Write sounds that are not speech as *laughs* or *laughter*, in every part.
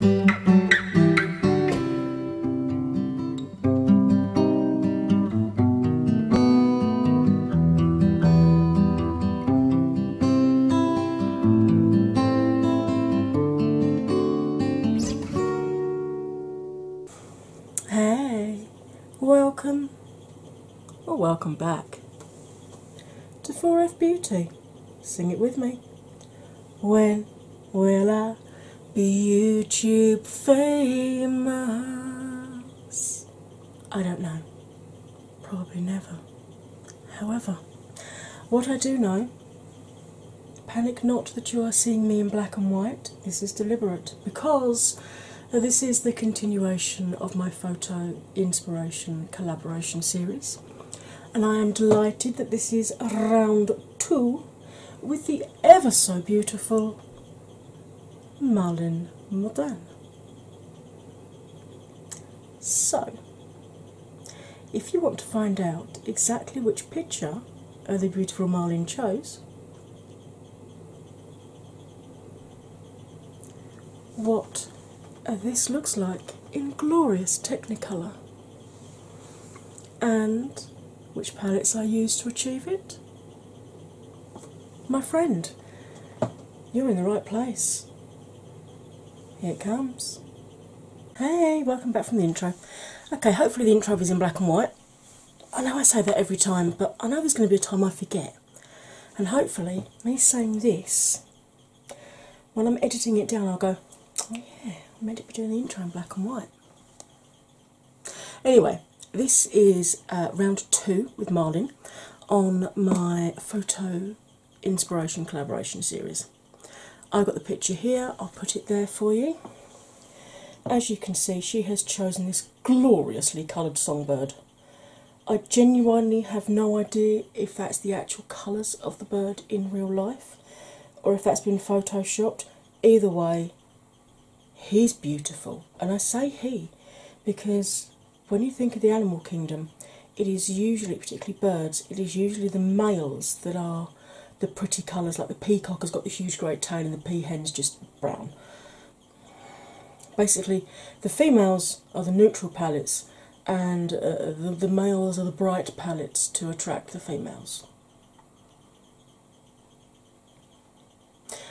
Hey, welcome or welcome back to 4F Beauty. Sing it with me. When will I be YouTube famous? I don't know. Probably never. However, what I do know, panic not that you are seeing me in black and white. This is deliberate because uh, this is the continuation of my photo inspiration collaboration series and I am delighted that this is round two with the ever so beautiful Marlin Modern. So, if you want to find out exactly which picture the beautiful Marlin chose, what this looks like in glorious Technicolor and which palettes I use to achieve it. My friend, you're in the right place. Here it comes. Hey, welcome back from the intro. Okay, hopefully the intro is in black and white. I know I say that every time, but I know there's going to be a time I forget. And hopefully, me saying this when I'm editing it down, I'll go, oh, yeah, I meant to be doing the intro in black and white. Anyway, this is uh, round two with Marlin on my photo inspiration collaboration series. I've got the picture here, I'll put it there for you. As you can see, she has chosen this gloriously coloured songbird. I genuinely have no idea if that's the actual colours of the bird in real life or if that's been photoshopped. Either way, he's beautiful. And I say he because when you think of the animal kingdom, it is usually, particularly birds, it is usually the males that are the pretty colours, like the peacock has got the huge great tail and the peahen's just brown. Basically, the females are the neutral palettes and uh, the, males are the bright palettes to attract the females.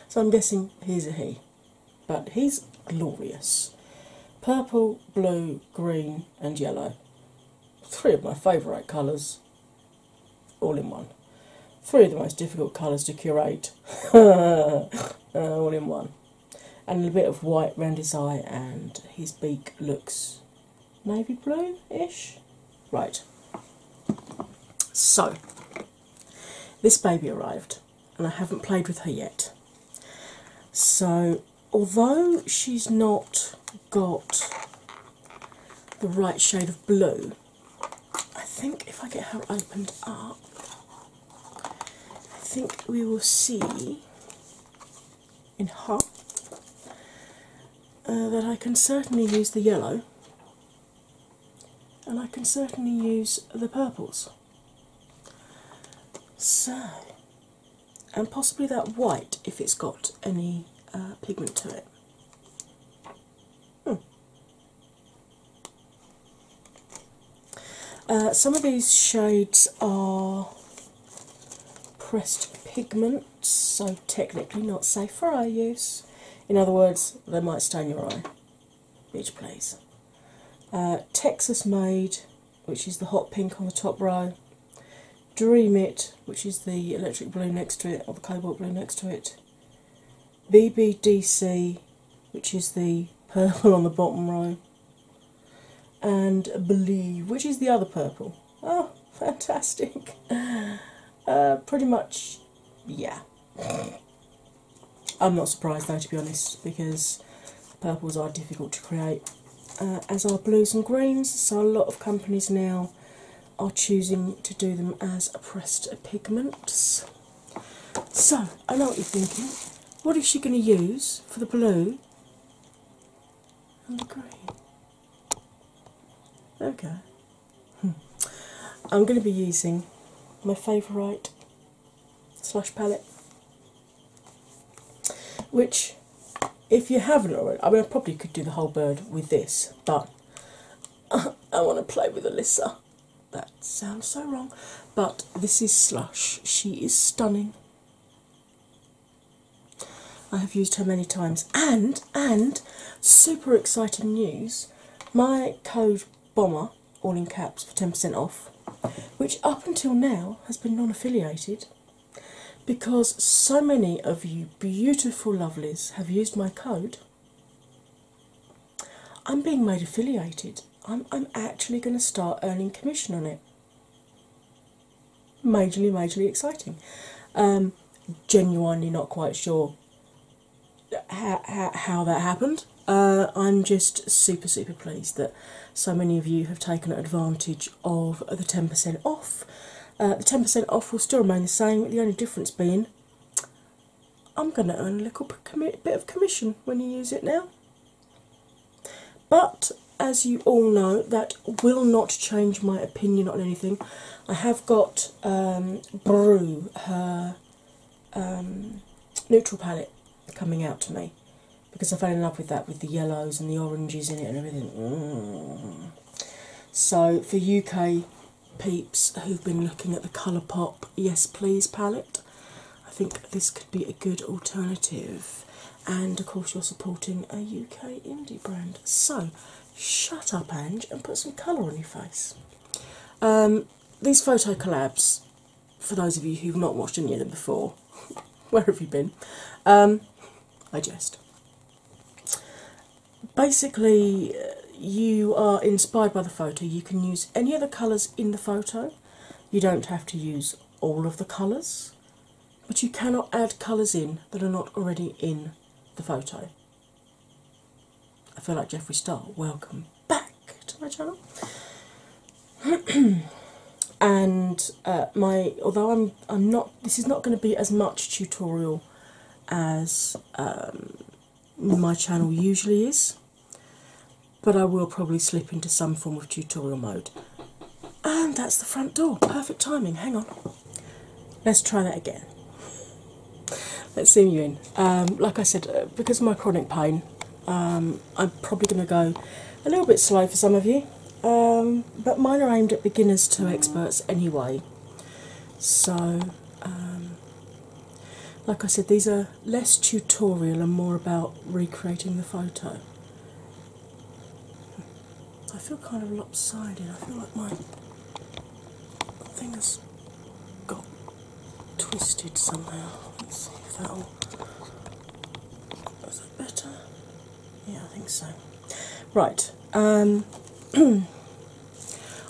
So I'm guessing he's a he, but he's glorious. Purple, blue, green, and yellow. Three of my favourite colours, all in one. Three of the most difficult colours to curate, *laughs* all in one. And a bit of white round his eye, and his beak looks navy blue ish. Right. So, this baby arrived, and I haven't played with her yet. So, although she's not got the right shade of blue, I think if I get her opened up, I think we will see in hot, uh, that I can certainly use the yellow and I can certainly use the purples. So, and possibly that white if it's got any uh, pigment to it. Hmm. Uh, some of these shades are pressed pigments, so technically not safe for eye use. In other words, they might stain your eye. Bitch, please. Uh, Texas Made, which is the hot pink on the top row. Dream It, which is the electric blue next to it, or the cobalt blue next to it. BBDC, which is the purple *laughs* on the bottom row and Believe, which is the other purple. Oh, *laughs* fantastic! Uh, pretty much, yeah. I'm not surprised though, to be honest, because purples are difficult to create, uh, as are blues and greens. So, a lot of companies now are choosing to do them as pressed pigments. So, I know what you're thinking. What is she going to use for the blue and the green? Okay. Hmm. I'm going to be using my favourite slush palette, which, if you haven't already, I mean, I probably could do the whole bird with this, but *laughs* I want to play with Alyssa. That sounds so wrong, but this is Slush. She is stunning. I have used her many times. And, and, super exciting news my code BOMBER, all in caps, for 10% off, which up until now has been non affiliated because so many of you beautiful lovelies have used my code. I'm being made affiliated. I'm, I'm actually going to start earning commission on it majorly, majorly exciting. Um, genuinely not quite sure how, that happened. Uh, I'm just super, super pleased that so many of you have taken advantage of the 10% off. Uh, the 10% off will still remain the same, the only difference being I'm going to earn a little bit of commission when you use it now. But as you all know, that will not change my opinion on anything. I have got um, Brew, her um, neutral palette, coming out to me because I fell in love with that with the yellows and the oranges in it and everything. Mm. So, for UK peeps who've been looking at the Colourpop Yes Please palette, I think this could be a good alternative and of course you're supporting a UK indie brand. So shut up, Ange, and put some colour on your face. Um, these photo collabs, for those of you who've not watched any of them before, *laughs* where have you been? Um, I jest. Basically, you are inspired by the photo. You can use any of the colours in the photo. You don't have to use all of the colours but you cannot add colours in that are not already in the photo. I feel like Jeffree Star. Welcome back to my channel. *clears throat* and uh, my although I'm I'm not this is not going to be as much tutorial as um, my channel usually is, but I will probably slip into some form of tutorial mode and that's the front door. Perfect timing. Hang on. Let's try that again. Let's zoom you in. Um, like I said, uh, because of my chronic pain, um, I'm probably going to go a little bit slow for some of you, um, but mine are aimed at beginners to experts anyway. So, like I said, these are less tutorial and more about recreating the photo. I feel kind of lopsided. I feel like my thing got twisted somehow. Let's see if that'll. Is that better? Yeah, I think so. Right. Um, *clears throat*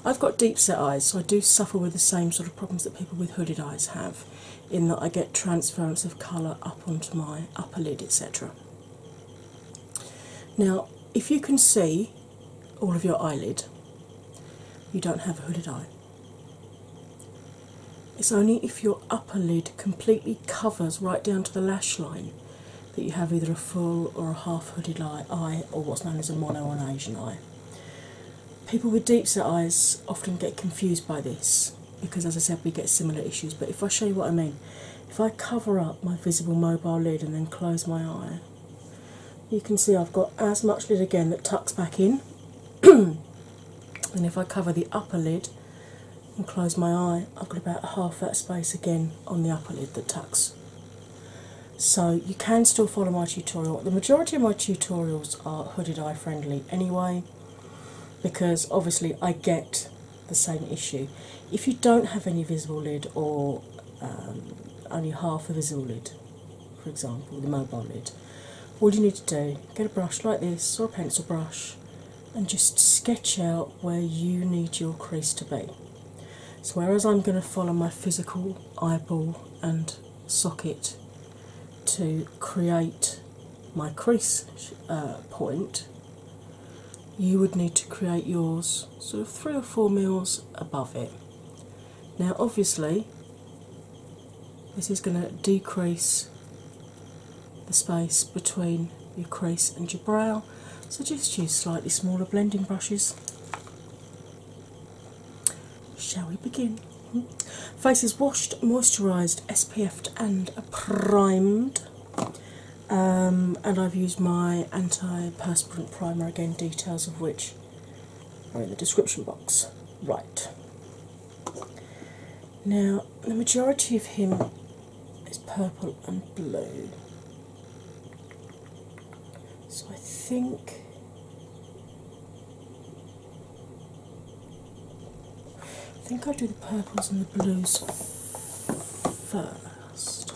I've got deep set eyes, so I do suffer with the same sort of problems that people with hooded eyes have, in that I get transference of colour up onto my upper lid, etc. Now, if you can see all of your eyelid, you don't have a hooded eye. It's only if your upper lid completely covers right down to the lash line that you have either a full or a half hooded eye, or what's known as a mono or an Asian eye. People with deep set eyes often get confused by this because, as I said, we get similar issues. But if I show you what I mean, if I cover up my visible mobile lid and then close my eye, you can see I've got as much lid again that tucks back in. *clears throat* and if I cover the upper lid and close my eye, I've got about half that space again on the upper lid that tucks. So you can still follow my tutorial. The majority of my tutorials are hooded eye friendly anyway, because obviously I get the same issue. If you don't have any visible lid or um, only half of a visible lid, for example, the mobile lid, all you need to do get a brush like this or a pencil brush and just sketch out where you need your crease to be. So, whereas I'm going to follow my physical eyeball and socket to create my crease uh, point, you would need to create yours sort of three or four mils above it. Now, obviously, this is going to decrease the space between your crease and your brow, so just use slightly smaller blending brushes. Shall we begin? Mm Face is washed, moisturised, SPF'd, and primed. Um, and I've used my anti-perspirant primer again. Details of which are in the description box. Right now, the majority of him is purple and blue, so I think. I think I'll do the purples and the blues first.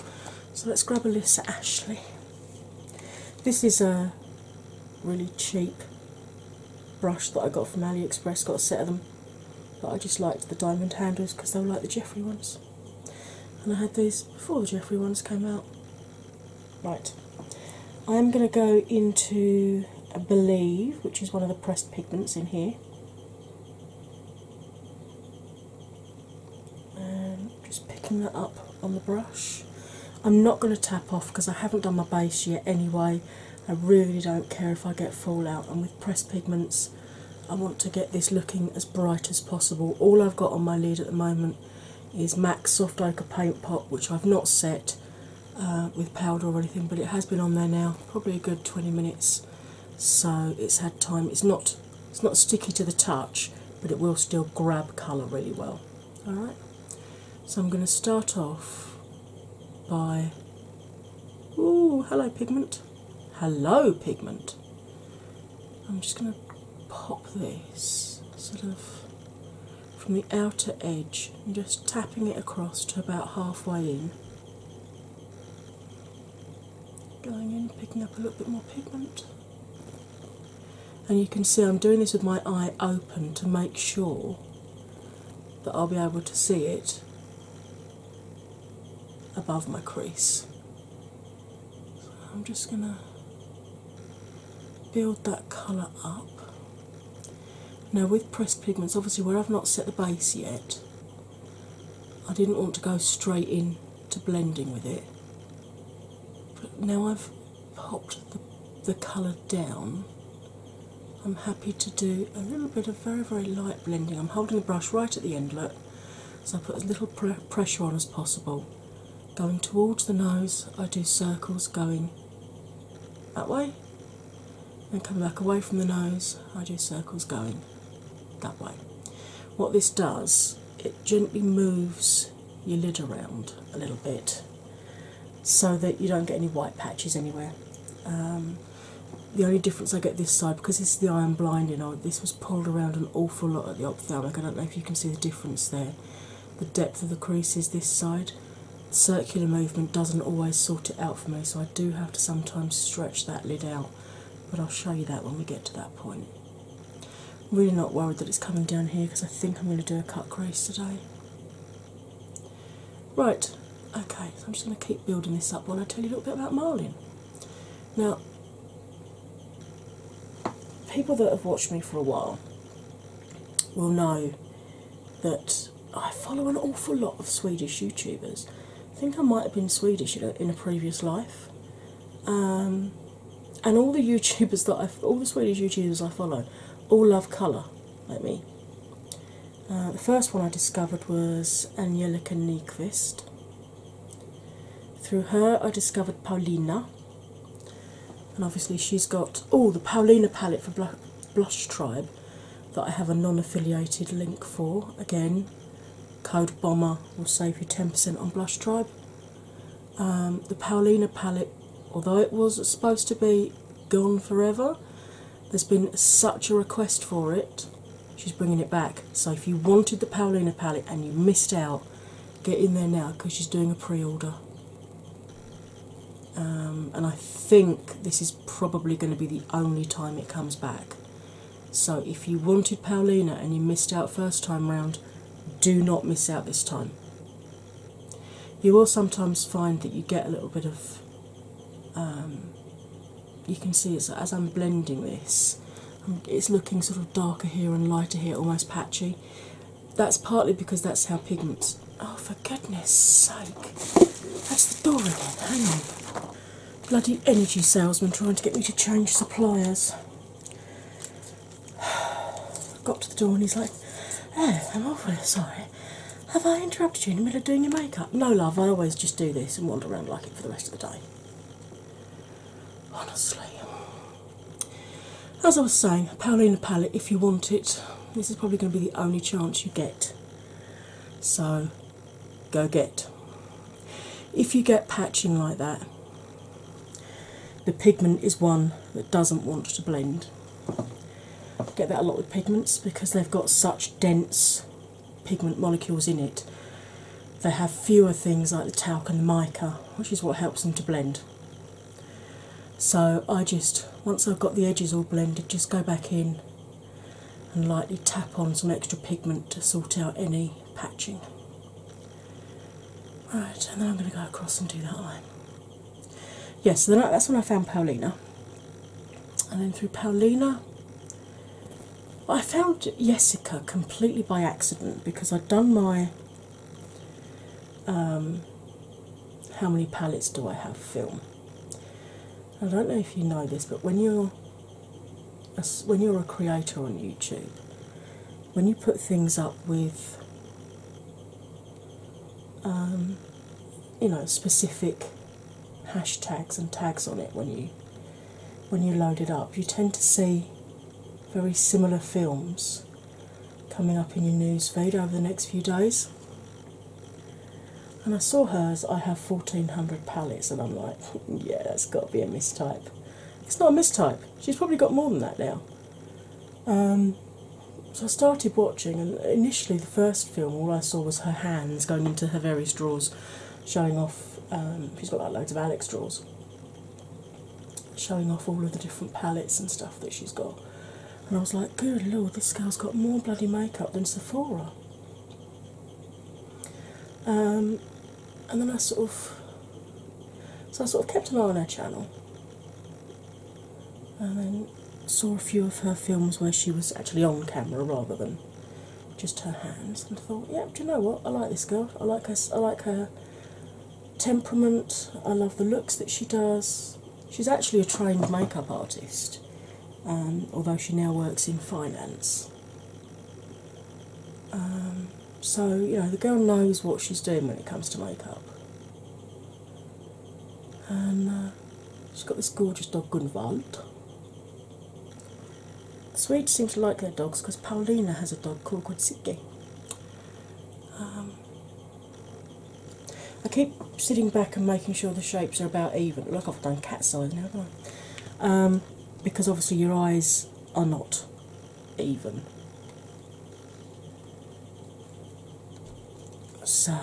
So let's grab a Lisa Ashley. This is a really cheap brush that I got from AliExpress, got a set of them, but I just liked the diamond handles because they were like the Jeffrey ones. And I had these before the Jeffrey ones came out. Right, I'm going to go into Believe, which is one of the pressed pigments in here. Um, just picking that up on the brush. I'm not going to tap off because I haven't done my base yet anyway. I really don't care if I get fallout, and with pressed pigments, I want to get this looking as bright as possible. All I've got on my lid at the moment is MAC Soft Ochre Paint Pot, which I've not set uh, with powder or anything, but it has been on there now, probably a good 20 minutes so it's had time. It's not it's not sticky to the touch, but it will still grab colour really well. All right. So I'm going to start off by Ooh, hello pigment, hello pigment. I'm just going to pop this sort of from the outer edge and just tapping it across to about halfway in. Going in, picking up a little bit more pigment. And you can see I'm doing this with my eye open to make sure that I'll be able to see it above my crease. I'm just going to build that colour up. Now, with pressed pigments, obviously, where I've not set the base yet, I didn't want to go straight in to blending with it. But now I've popped the, colour down, I'm happy to do a little bit of very, very light blending. I'm holding the brush right at the end endlet, so I put as little pressure on as possible. Going towards the nose, I do circles going that way and come back away from the nose, I do circles going that way. What this does, it gently moves your lid around a little bit so that you don't get any white patches anywhere. Um, the only difference I get this side because this is the iron I'm blind this was pulled around an awful lot at the ophthalmic. I don't know if you can see the difference there. The depth of the crease is this side. Circular movement doesn't always sort it out for me, so I do have to sometimes stretch that lid out but I'll show you that when we get to that point. I'm really not worried that it's coming down here because I think I'm going to do a cut crease today. Right, okay, so I'm just going to keep building this up while I tell you a little bit about Marlin. Now, people that have watched me for a while will know that I follow an awful lot of Swedish YouTubers I think I might have been Swedish in a, previous life. Um, and all the *laughs* YouTubers that I, all the Swedish YouTubers I follow, all love colour, like me. Uh, the first one I discovered was Angelica Nyqvist. Through her, I discovered Paulina, and obviously she's got oh the Paulina palette for Blush Tribe that I have a non-affiliated link for. Again, Code Bomber will save you 10% on Blush Tribe. Um, the Paulina palette, although it was supposed to be gone forever, there's been such a request for it, she's bringing it back. So if you wanted the Paulina palette and you missed out, get in there now because she's doing a pre order. Um, and I think this is probably going to be the only time it comes back. So, if you wanted Paulina and you missed out first time round, do not miss out this time. You will sometimes find that you get a little bit of. Um, you can see as I'm blending this, um, it's looking sort of darker here and lighter here, almost patchy. That's partly because that's how pigments. Oh, for goodness sake! That's the door again. Hang on bloody energy salesman trying to get me to change suppliers. *sighs* Got to the door and he's like, "Oh, I'm awfully sorry. Have I interrupted you in the middle of doing your makeup?" No, love. I always just do this and wander around like it for the rest of the day. Honestly. As I was saying, in Paulina palette, if you want it, this is probably going to be the only chance you get. So go get. If you get patching like that, the pigment is one that doesn't want to blend. get that a lot with pigments because they've got such dense pigment molecules in it. They have fewer things like the talc and the mica, which is what helps them to blend. So I just, once I've got the edges all blended, just go back in and lightly tap on some extra pigment to sort out any patching. Right, and then I'm going to go across and do that line. Yes, yeah, so that's when I found Paulina, and then through Paulina. I found Jessica completely by accident because I'd done my um, how many palettes do I have film I don't know if you know this, but when you're a, when you're a creator on YouTube, when you put things up with um, you know specific hashtags and tags on it, when you when you load it up, you tend to see very similar films coming up in your news feed over the next few days. And I saw hers, I have 1400 palettes, and I'm like, *laughs* yeah, that's got to be a mistype. It's not a mistype, she's probably got more than that now. Um, so I started watching, and initially, the first film, all I saw was her hands going into her various drawers, showing off. Um, she's got like loads of Alex drawers, showing off all of the different palettes and stuff that she's got. And I was like, good lord, this girl's got more bloody makeup than Sephora. Um, and then I sort of, so I sort of kept an eye on her channel, and then saw a few of her films where she was actually on camera rather than just her hands, and thought, yep, do you know what? I like this girl. I like her. I like her temperament. I love the looks that she does. She's actually a trained makeup artist, um, although she now works in finance. Um, so, you know, the girl knows what she's doing when it comes to makeup. And uh, she's got this gorgeous dog, Gunvald. Swedes seem to like their dogs because Paulina has a dog called Gudsicki. Um, I keep sitting back and making sure the shapes are about even. Look, I've done cat's eye now, because obviously your eyes are not even. So,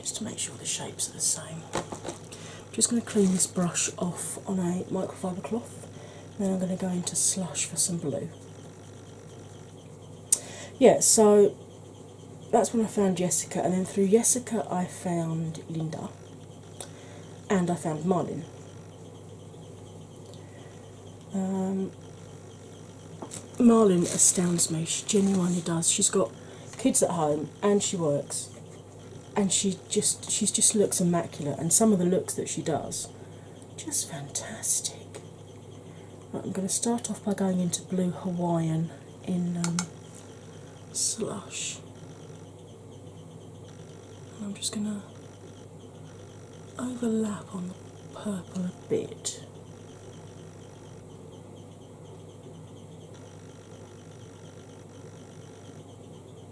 just to make sure the shapes are the same, I'm just going to clean this brush off on a microfiber cloth, then I'm going to go into slush for some blue. Yeah, so that's when I found Jessica, and then through Jessica, I found Linda and I found Marlin. Um, Marlin astounds me, she genuinely does. She's got kids at home and she works and she just she just looks immaculate and some of the looks that she does just fantastic. I'm going to start off by going into blue Hawaiian in um, slush. And I'm just going to overlap on the purple a bit.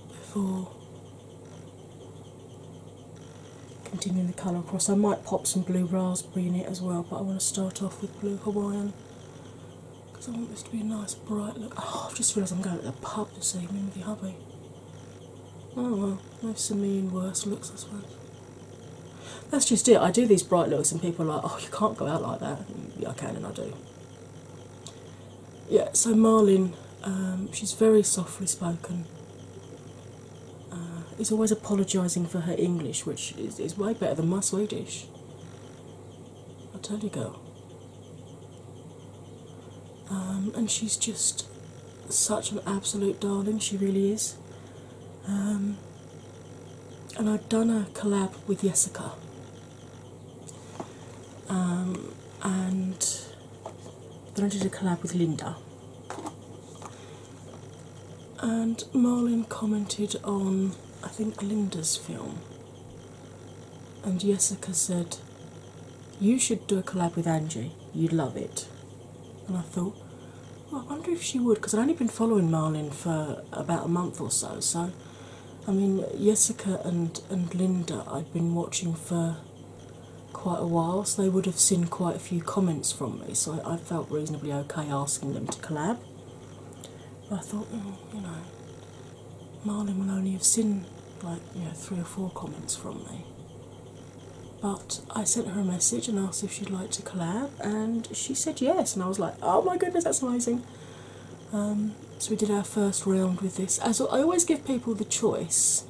Before continuing the colour across, I might pop some blue raspberry in it as well, but I want to start off with blue Hawaiian because I want this to be a nice bright look. Oh, i just realised I'm going to the pub this evening with your hubby. Oh well, most of me in worse looks, as well. That's just it. I do these bright looks, and people are like, "Oh, you can't go out like that." Yeah, I can, and I do. Yeah. So Marlin, um, she's very softly spoken. Uh, is always apologising for her English, which is, is way better than my Swedish a teddy girl. and she's just such an absolute darling, she really is. Um, and I've done a collab with Jessica. Um, and then I did a collab with Linda and Marlin commented on, I think, Linda's film. And Jessica said, You should do a collab with Angie, you'd love it. And I thought, I wonder if she would, because I'd only been following Marlin for about a month or so. So, I mean, Jessica and, and Linda I'd been watching for quite a while, so they would have seen quite a few comments from me, so I felt reasonably okay asking them to collab. I thought, well, mm, you know, Marlin will only have seen like you know three or four comments from me. But I sent her a message and asked if she'd like to collab, and she said yes. And I was like, oh my goodness, that's amazing. Um, so we did our first round with this. As I always give people the choice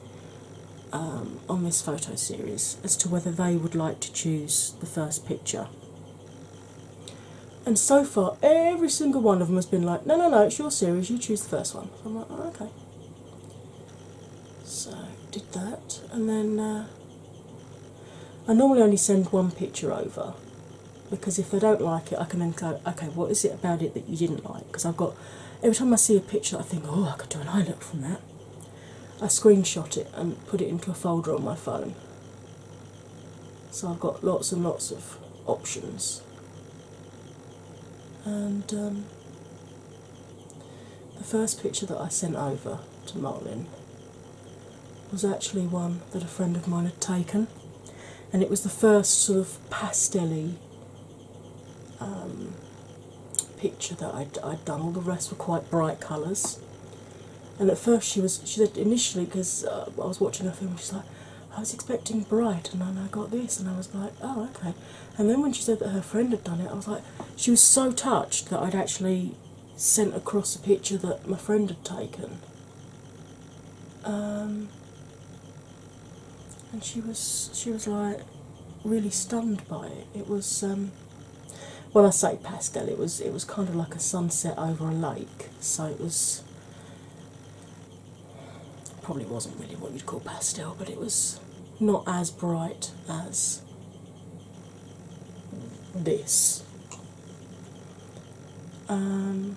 um, on this photo series as to whether they would like to choose the first picture and so far, every single one of them has been like, no, no, no, it's your series, you choose the first one. I'm like, oh, okay. So, did that, and then uh, I normally only send one picture over because if they don't like it, I can then go, okay, what is it about it that you didn't like? Because I've got, every time I see a picture, I think, oh, I could do an eye look from that. I screenshot it and put it into a folder on my phone so I've got lots and lots of options. And um, the first picture that I sent over to Marlin was actually one that a friend of mine had taken, and it was the first sort of pastelly um, picture that I'd done. All the rest were quite bright colours, and at first she was, she said initially, because uh, I was watching her film, she's like, I was expecting bright, and then I got this, and I was like, oh, okay. And then when she said that her friend had done it, I was like, she was so touched that I'd actually sent across a picture that my friend had taken. Um, and she was she was like really stunned by it. It was um, when I say pastel, it was it was kind of like a sunset over a lake, so it was probably wasn't really what you'd call pastel, but it was not as bright as this. Um,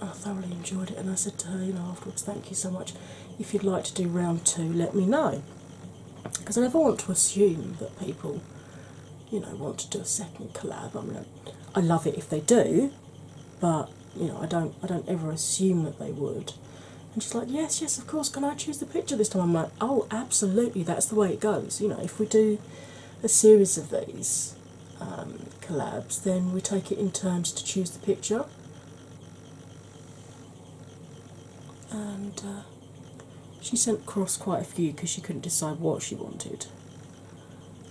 I thoroughly enjoyed it, and I said to her, afterwards, thank you so much. If you'd like to do round two, let me know. Because I never want to assume that people you know want to do a second collab. I mean, I, I love it if they do, but you know I don't I don't ever assume that they would. And she's like, yes, yes, of course. Can I choose the picture this time? I'm like, oh, absolutely. That's the way it goes. You know, if we do a series of these um, collabs, then we take it in turns to choose the picture. And uh, she sent across quite a few because she couldn't decide what she wanted.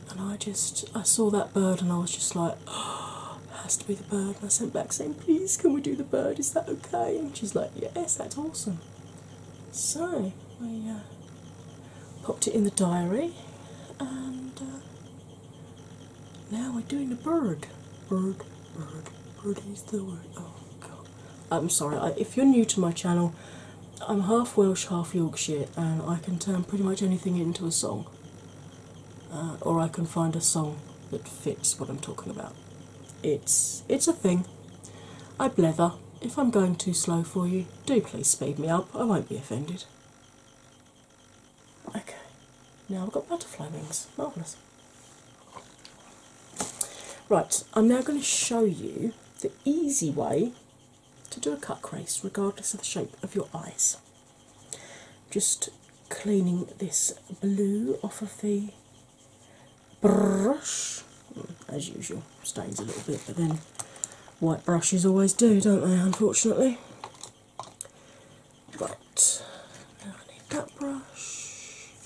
And I just I saw that bird and I was just like, oh, *gasps* has to be the bird. And I sent back saying, please can we do the bird? Is that okay? And she's like, yes, that's awesome. So we uh, popped it in the diary and uh, now we're doing the bird. Bird, bird, bird is the word. Oh, god. I'm sorry, if you're new to my channel, I'm half Welsh, half Yorkshire, and I can turn pretty much anything into a song. Uh, or I can find a song that fits what I'm talking about. It's it's a thing. I blether. If I'm going too slow for you, do please speed me up. I won't be offended. Okay, now I've got butterfly wings. Marvellous. Right, I'm now going to show you the easy way to do a cut crease regardless of the shape of your eyes. Just cleaning this blue off of the brush. Hmm, as usual, stains a little bit, but then white brushes always do, don't they, unfortunately? But now I need that brush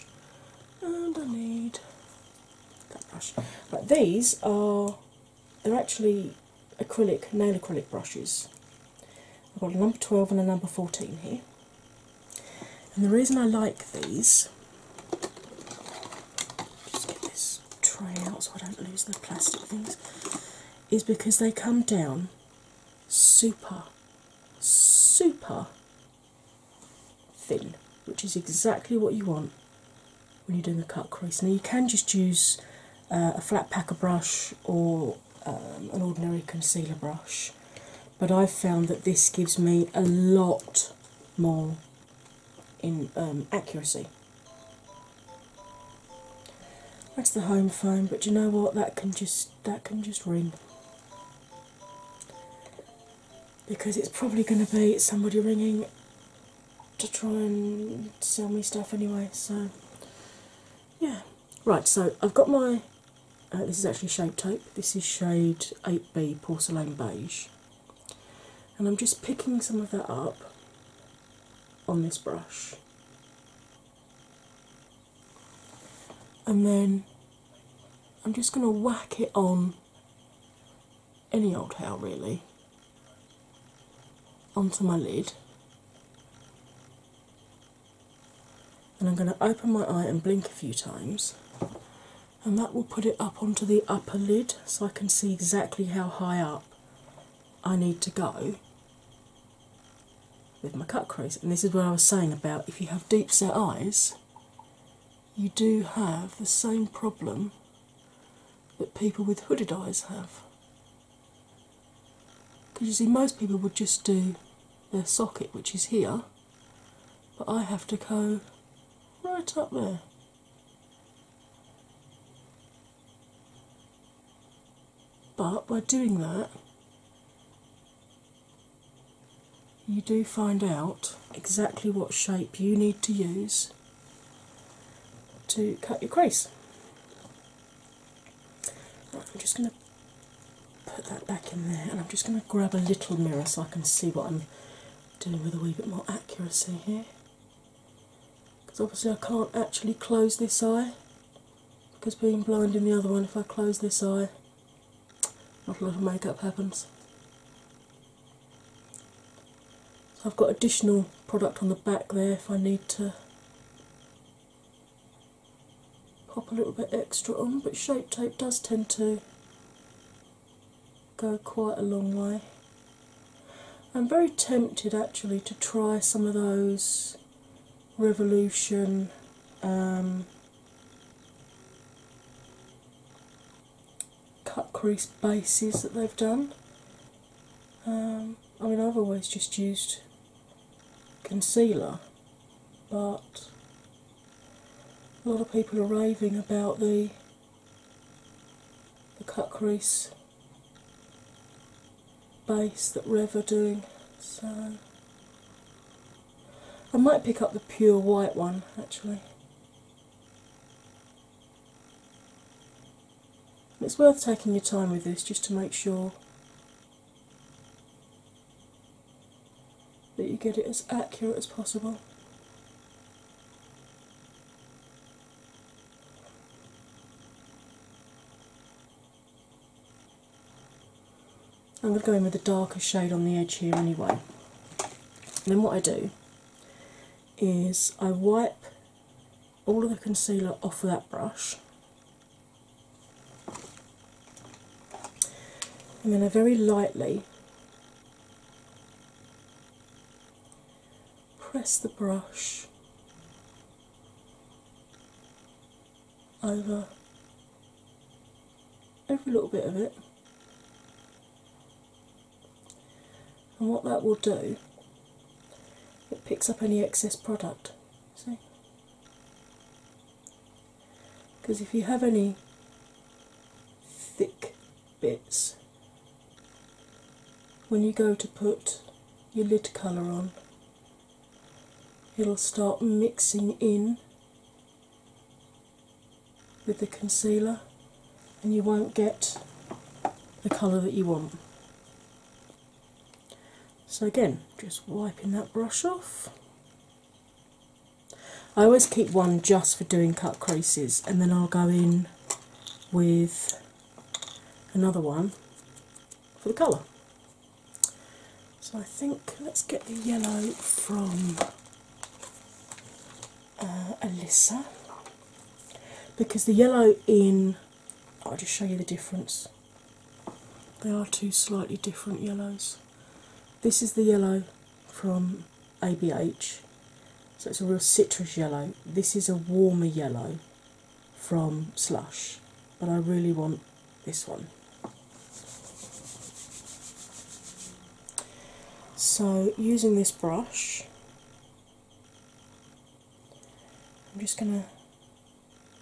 and I need but these are they're actually acrylic nail acrylic brushes. I've got a number 12 and a number 14 here. And the reason I like these, just get this tray out so I don't lose the plastic things, is because they come down super, super thin, which is exactly what you want when you're doing a cut crease. Now, you can just use uh, a flat packer brush or um, an ordinary concealer brush, but I've found that this gives me a lot more in um, accuracy. That's the home phone, but you know what? That can just that can just ring because it's probably going to be somebody ringing to try and sell me stuff anyway. So, yeah. Right, so I've got my. Uh, this is actually shape tape, this is shade 8B Porcelain Beige, and I'm just picking some of that up on this brush. And then I'm just going to whack it on any old hair really onto my lid. And I'm going to open my eye and blink a few times, and that will put it up onto the upper lid so I can see exactly how high up I need to go with my cut crease. And this is what I was saying about if you have deep set eyes, you do have the same problem that people with hooded eyes have. Because you see, most people would just do their socket, which is here, but I have to go right up there. But by doing that, you do find out exactly what shape you need to use to cut your crease. I'm just going to put that back in there and I'm just going to grab a little mirror so I can see what I'm doing with a wee bit more accuracy here. Because obviously I can't actually close this eye because being blind in the other one, if I close this eye, not a lot of makeup happens. I've got additional product on the back there if I need to pop a little bit extra on, but shape tape does tend to go quite a long way. I'm very tempted actually to try some of those Revolution um, cut crease bases that they've done. Um, I mean, I've always just used concealer, but a lot of people are raving about the the cut crease base that Rev are doing. So I might pick up the pure white one actually. It's worth taking your time with this just to make sure that you get it as accurate as possible. I'm going to go in with a darker shade on the edge here anyway. then what I do is I wipe all of the concealer off of that brush. And then I very lightly press the brush over every little bit of it and what that will do, it picks up any excess product. See? Because if you have any thick bits, when you go to put your lid colour on, it'll start mixing in with the concealer and you won't get the colour that you want. So, again, just wiping that brush off. I always keep one just for doing cut creases, and then I'll go in with another one for the colour. So, I think let's get the yellow from uh, Alyssa because the yellow in I'll just show you the difference. They are two slightly different yellows. This is the yellow from ABH, so it's a real citrus yellow. This is a warmer yellow from Slush, but I really want this one. So, using this brush, I'm just going to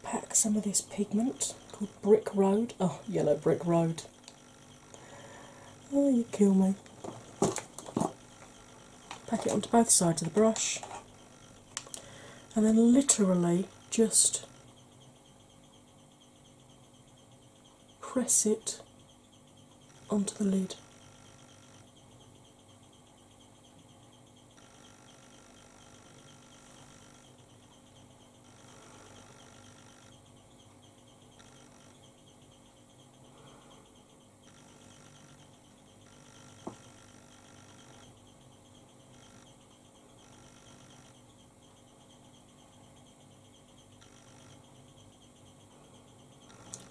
pack some of this pigment called Brick Road. Oh, yellow brick road. Oh, you kill me. Pack it onto both sides of the brush and then literally just press it onto the lid.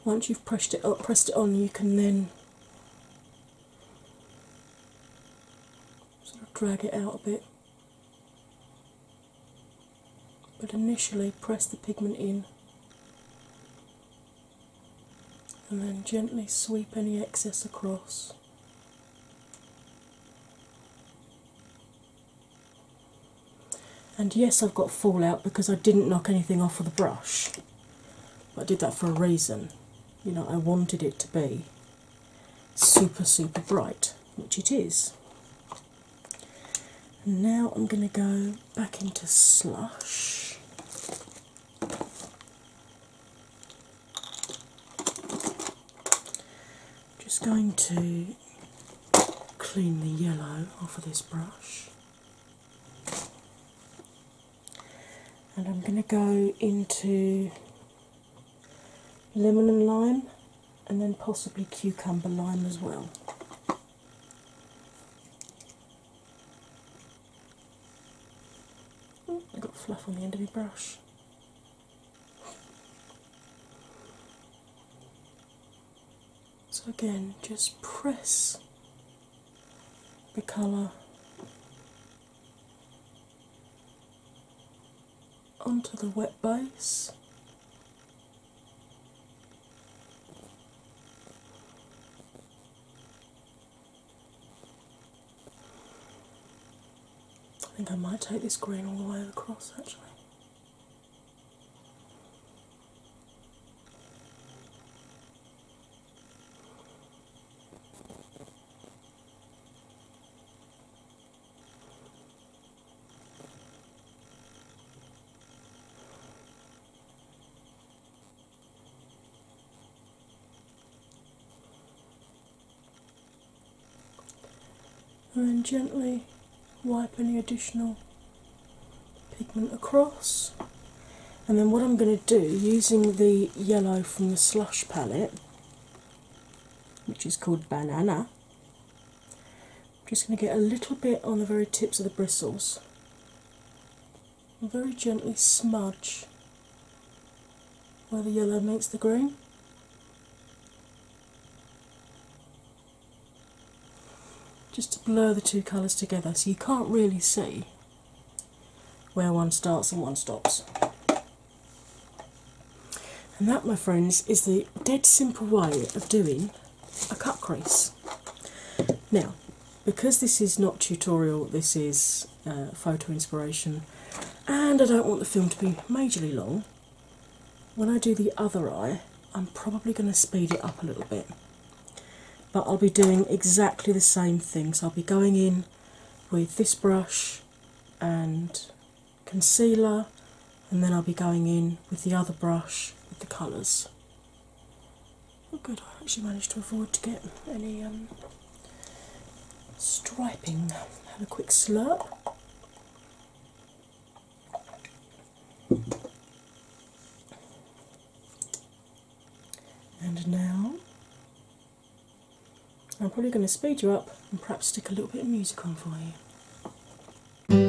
Once you've pressed it up, pressed it on, you can then sort of drag it out a bit. But initially, press the pigment in and then gently sweep any excess across. And yes, I've got fallout because I didn't knock anything off with of the brush. But I did that for a reason. You know, I wanted it to be super, super bright, which it is. And now I'm going to go back into slush. Just going to clean the yellow off of this brush and I'm going to go into lemon and lime and then possibly cucumber lime as well. Ooh, I got fluff on the end of my brush. So, again, just press the colour onto the wet base. I think I might take this green all the way across actually and then gently wipe any additional pigment across. And then, what I'm going to do using the yellow from the slush palette, which is called Banana, I'm just going to get a little bit on the very tips of the bristles and very gently smudge where the yellow meets the green just to blur the two colours together so you can't really see where one starts and one stops. And that, my friends, is the dead simple way of doing a cut crease. Now, because this is not tutorial, this is uh, photo inspiration, and I don't want the film to be majorly long, when I do the other eye, I'm probably going to speed it up a little bit, but I'll be doing exactly the same thing. So I'll be going in with this brush and concealer, and then I'll be going in with the other brush with the colours. Oh, good, I actually managed to avoid to get any um, striping. Have a quick slurp. And now I'm probably going to speed you up and perhaps stick a little bit of music on for you.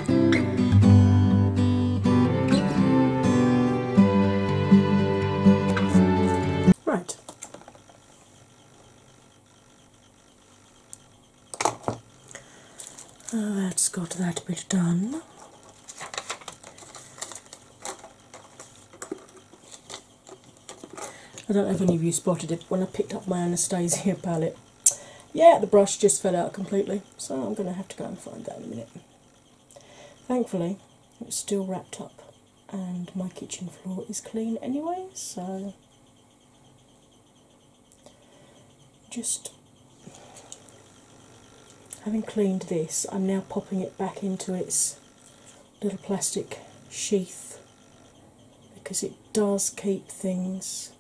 Right. that's got that bit done. I don't know if any of you spotted it when I picked up my Anastasia palette yeah, the brush just fell out completely, so I'm going to have to go and find that in a minute. Thankfully, it's still wrapped up, and my kitchen floor is clean anyway, so just having cleaned this, I'm now popping it back into its little plastic sheath because it does keep things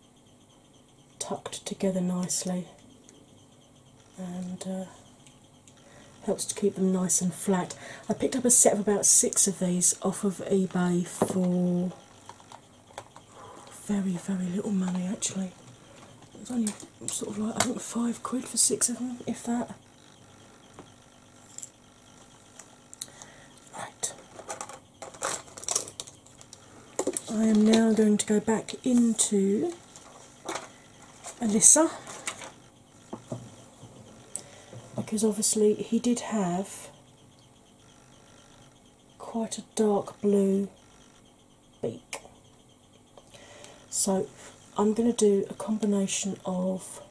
tucked together nicely and uh, helps to keep them nice and flat. I picked up a set of about six of these off of eBay for very, very little money actually. It was only sort of like I think five quid for six of them, if that. Right, I am now going to go back into Alyssa because obviously he did have quite a dark blue beak. So I'm going to do a combination of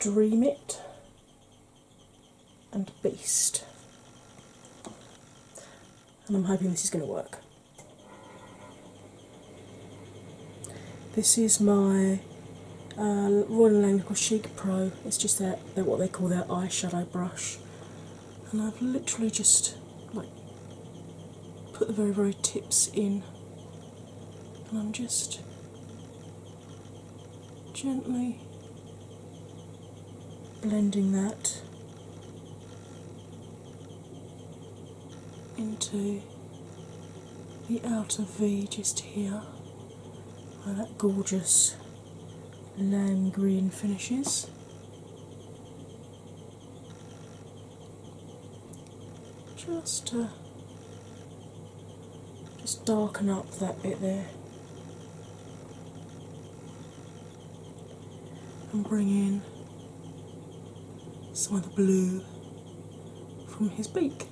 Dream It and Beast. And I'm hoping this is going to work. This is my uh, Royal Lang Pro. It's just their, their, what they call their eyeshadow brush. And I've literally just like put the very, very tips in. And I'm just gently blending that into the outer V just here where that gorgeous lime green finishes. Just to just darken up that bit there and bring in some of the blue from his beak.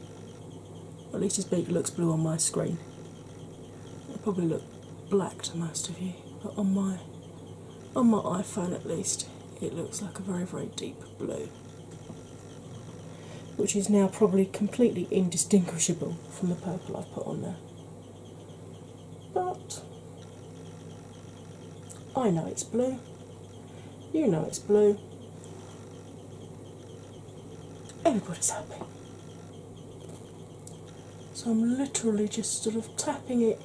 at least his beak looks blue on my screen. It probably looks black to most of you, but on my on my iPhone at least it looks like a very very deep blue. Which is now probably completely indistinguishable from the purple I've put on there. But I know it's blue, you know it's blue, everybody's happy. So I'm literally just sort of tapping it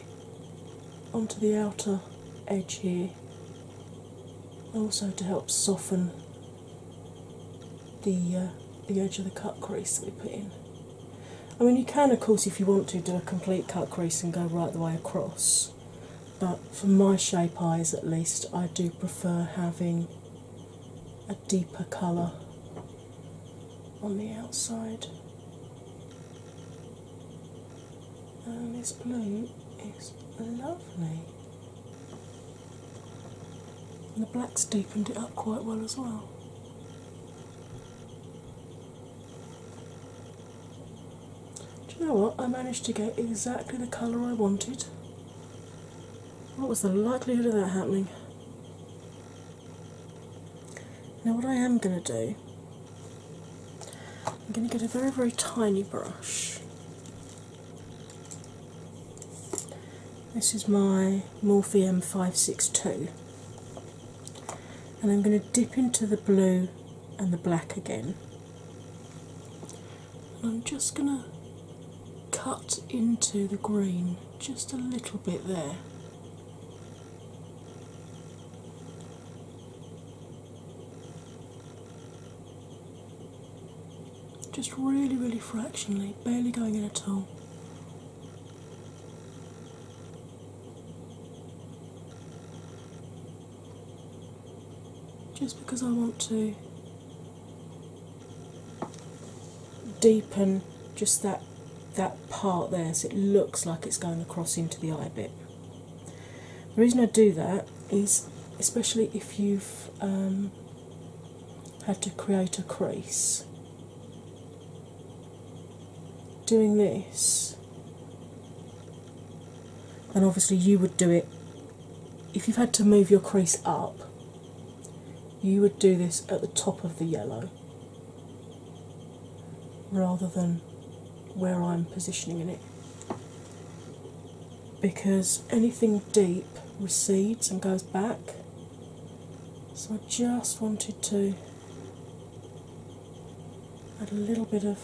onto the outer edge here, also to help soften the uh, the edge of the cut crease that we put in. I mean, you can, of course, if you want to, do a complete cut crease and go right the way across. But for my shape eyes, at least, I do prefer having a deeper colour on the outside. And this blue is lovely. And the black's deepened it up quite well as well. Do you know what? I managed to get exactly the colour I wanted. What was the likelihood of that happening? Now, what I am going to do, I'm going to get a very, very tiny brush this is my Morpheum 562, and I'm going to dip into the blue and the black again. I'm just going to cut into the green just a little bit there. Just really, really fractionally, barely going in at all just because I want to deepen just that that part there so it looks like it's going across into the eye bit. The reason I do that is especially if you've um, had to create a crease doing this, and obviously, you would do it if you've had to move your crease up, you would do this at the top of the yellow rather than where I'm positioning in it because anything deep recedes and goes back. So I just wanted to add a little bit of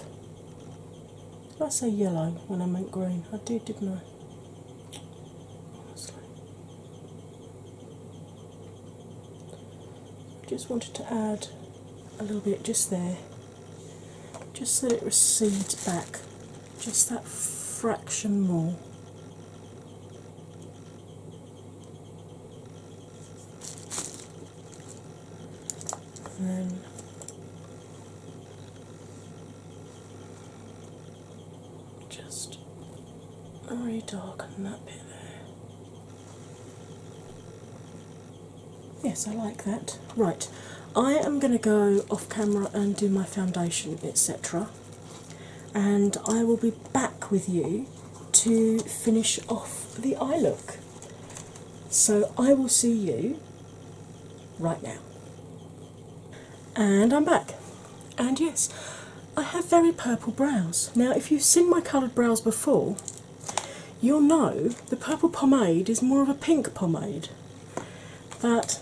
did I say yellow when I meant green? I did, didn't I? just wanted to add a little bit just there, just so it recedes back, just that fraction more. And then just redarken that bit there. Yes, I like that. Right, I am going to go off camera and do my foundation, etc and I will be back with you to finish off the eye look. So I will see you right now. And I'm back. And yes, I have very purple brows. Now, if you've seen my coloured brows before, you'll know the purple pomade is more of a pink pomade. But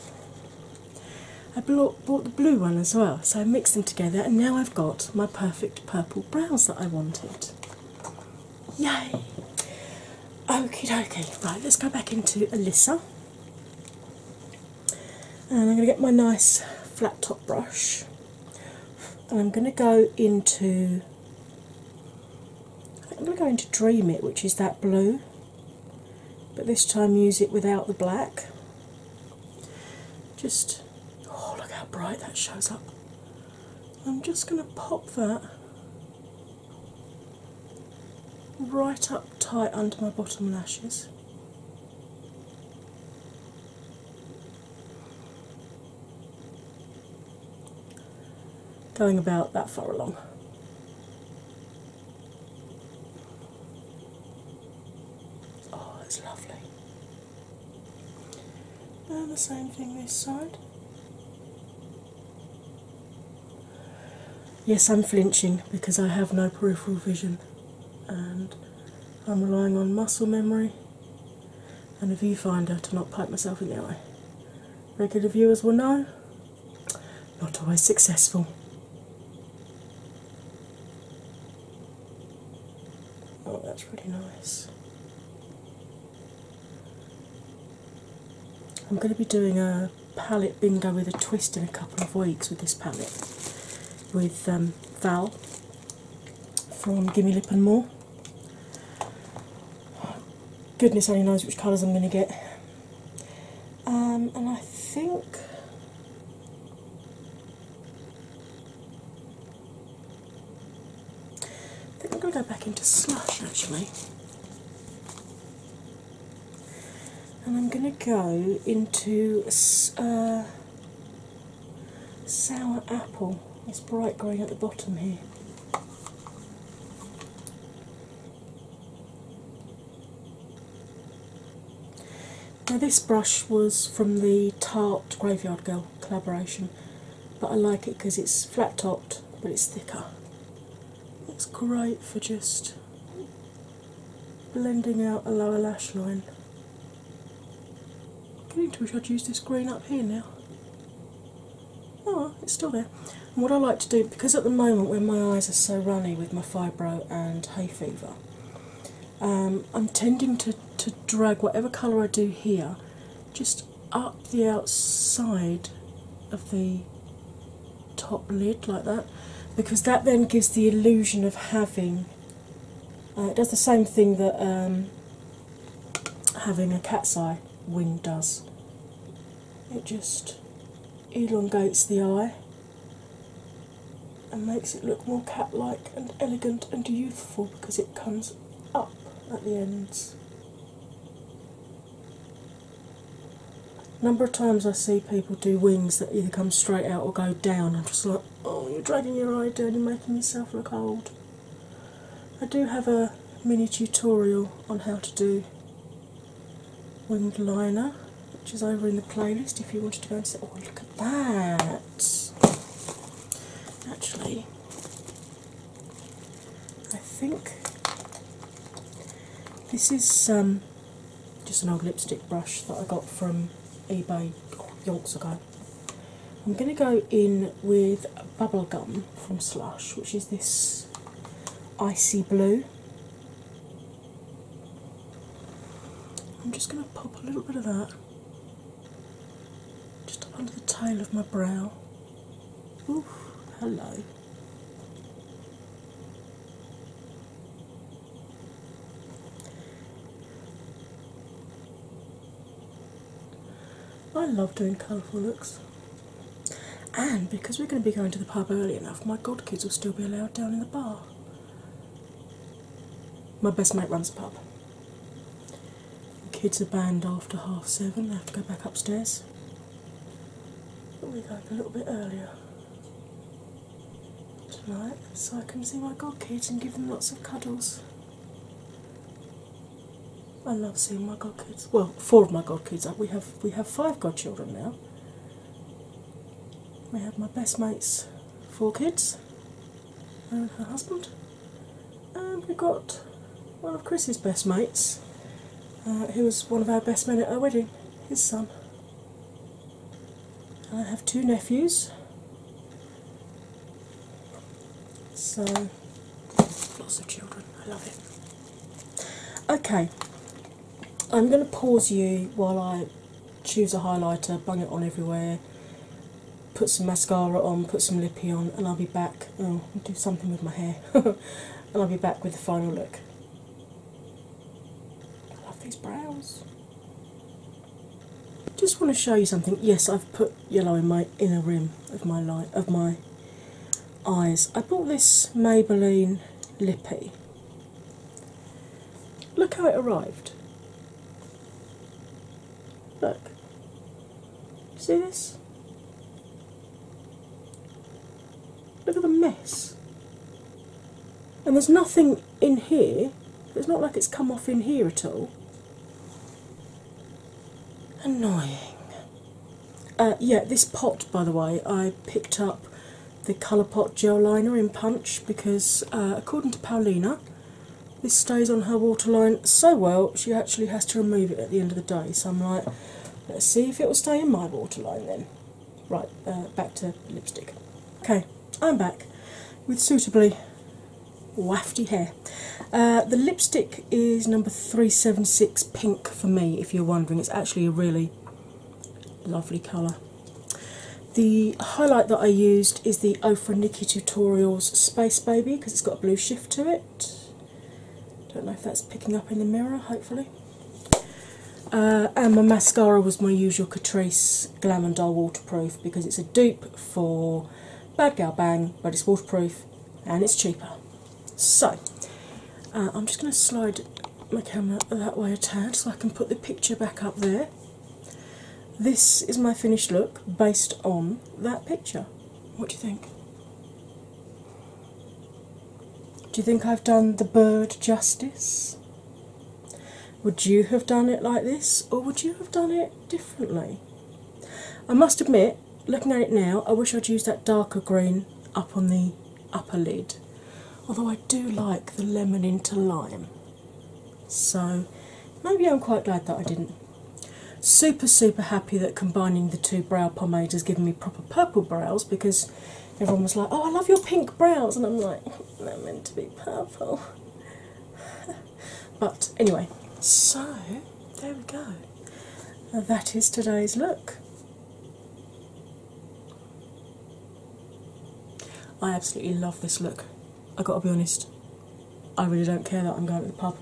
I bought the blue one as well, so I mixed them together, and now I've got my perfect purple brows that I wanted. Yay! Okay, okay. Right, let's go back into Alyssa. And I'm going to get my nice flat top brush, and I'm going to go into. I'm going to go into Dream It, which is that blue, but this time use it without the black. Just oh look how bright that shows up. I'm just going to pop that right up tight under my bottom lashes. Going about that far along. Oh, it's lovely. And the same thing this side. Yes, I'm flinching because I have no peripheral vision and I'm relying on muscle memory and a viewfinder to not pipe myself in the eye. Regular viewers will know, not always successful. Oh, that's really nice. I'm going to be doing a palette bingo with a twist in a couple of weeks with this palette with um, Val from Gimme Lip and More. Goodness only knows which colours I'm going to get. Um, and I think I think I'm going to go back into slush actually. And I'm going to go into uh, sour apple. It's bright green at the bottom here. Now, this brush was from the Tarte Graveyard Girl collaboration, but I like it because it's flat topped but it's thicker. It's great for just blending out a lower lash line. I am going to wish I'd used this green up here now. Oh, it's still there. what I like to do, because at the moment when my eyes are so runny with my fibro and hay fever, um, I'm tending to, to drag whatever colour I do here just up the outside of the top lid like that because that then gives the illusion of having uh, it does the same thing that um, having a cat's eye wing does. It just elongates the eye and makes it look more cat like and elegant and youthful because it comes up at the ends. number of times I see people do wings that either come straight out or go down. I'm just like, oh, you're dragging your eye down, you're making yourself look old. I do have a mini tutorial on how to do winged liner which is over in the playlist if you wanted to go and say, oh, look at that. Actually, I think this is um, just an old lipstick brush that I got from eBay oh, Yorks ago. I'm going to go in with bubble gum from Slush, which is this icy blue. I'm just going to pop a little bit of that just up under the tail of my brow. Oof, hello. I love doing colourful looks. And because we're going to be going to the pub early enough, my god kids will still be allowed down in the bar. My best mate runs a pub. The kids are banned after half seven, they have to go back upstairs. But we're going a little bit earlier tonight so I can see my godkids and give them lots of cuddles. I love seeing my godkids. Well, four of my godkids. We have we have five godchildren now. We have my best mate's four kids, and her husband. And we got one of Chris's best mates, uh, who was one of our best men at our wedding, his son. I have two nephews. So, lots of children. I love it. Okay, I'm going to pause you while I choose a highlighter, bung it on everywhere, put some mascara on, put some lippy on, and I'll be back. Oh, I'll do something with my hair, *laughs* and I'll be back with the final look. I love these brows. Just want to show you something. Yes, I've put yellow in my inner rim of my light of my eyes. I bought this Maybelline lippy Look how it arrived. Look. See this? Look at the mess. And there's nothing in here, it's not like it's come off in here at all. Annoying. Uh, yeah, this pot, by the way, I picked up the Colourpop gel liner in Punch because, uh, according to Paulina, this stays on her waterline so well, she actually has to remove it at the end of the day. So I'm like, let's see if it will stay in my waterline then. Right, uh, back to lipstick. Okay, I'm back with suitably wafty hair. Uh, the lipstick is number 376 Pink for me, if you're wondering. It's actually a really lovely colour. The highlight that I used is the Ofra Tutorials Space Baby because it's got a blue shift to it. Don't know if that's picking up in the mirror, hopefully. Uh, and my mascara was my usual Catrice Glam and Doll Waterproof because it's a dupe for Bad Gal Bang, but it's waterproof and it's cheaper. So, uh, I'm just going to slide my camera that way a tad so I can put the picture back up there. This is my finished look based on that picture. What do you think? Do you think I've done the bird justice? Would you have done it like this or would you have done it differently? I must admit, looking at it now, I wish I'd used that darker green up on the upper lid, although I do like the lemon into lime. So maybe I'm quite glad that I didn't. Super, super happy that combining the two brow pomades has given me proper purple brows because everyone was like, Oh, I love your pink brows, and I'm like, They're meant to be purple. *laughs* but anyway, so there we go. That is today's look. I absolutely love this look. I gotta be honest, I really don't care that I'm going to the pub.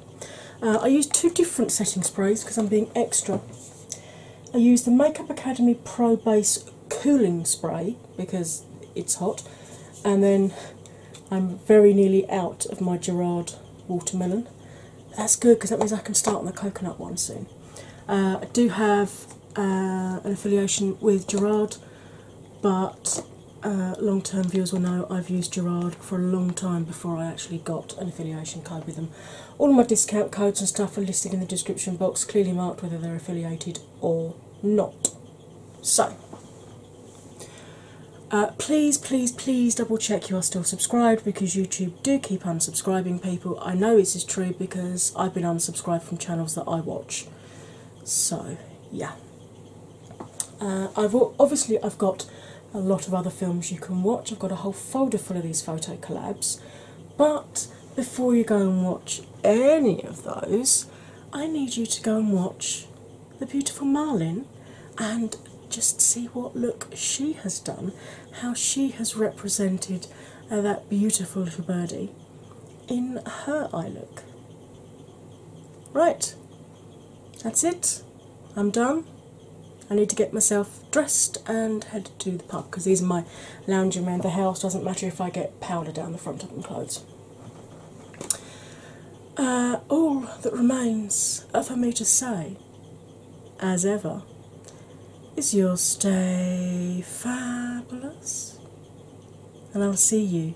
Uh, I use two different setting sprays because I'm being extra. I use the Makeup Academy Pro Base Cooling Spray because it's hot, and then I'm very nearly out of my Gerard watermelon. That's good because that means I can start on the coconut one soon. Uh, I do have uh, an affiliation with Gerard, but uh, long term viewers will know I've used Gerard for a long time before I actually got an affiliation card with them. All my discount codes and stuff are listed in the description box, clearly marked whether they're affiliated or not. So, uh, please, please, please double check you are still subscribed because YouTube do keep unsubscribing people. I know this is true because I've been unsubscribed from channels that I watch. So yeah, uh, I've obviously I've got a lot of other films you can watch. I've got a whole folder full of these photo collabs, but before you go and watch any of those, I need you to go and watch the beautiful Marlin and just see what look she has done, how she has represented uh, that beautiful little birdie in her eye look. Right, that's it. I'm done. I need to get myself dressed and head to the pub because these are my lounging around the house. Doesn't matter if I get powder down the front of my clothes. Uh, all that remains for me to say, as ever, is you'll stay fabulous, and I'll see you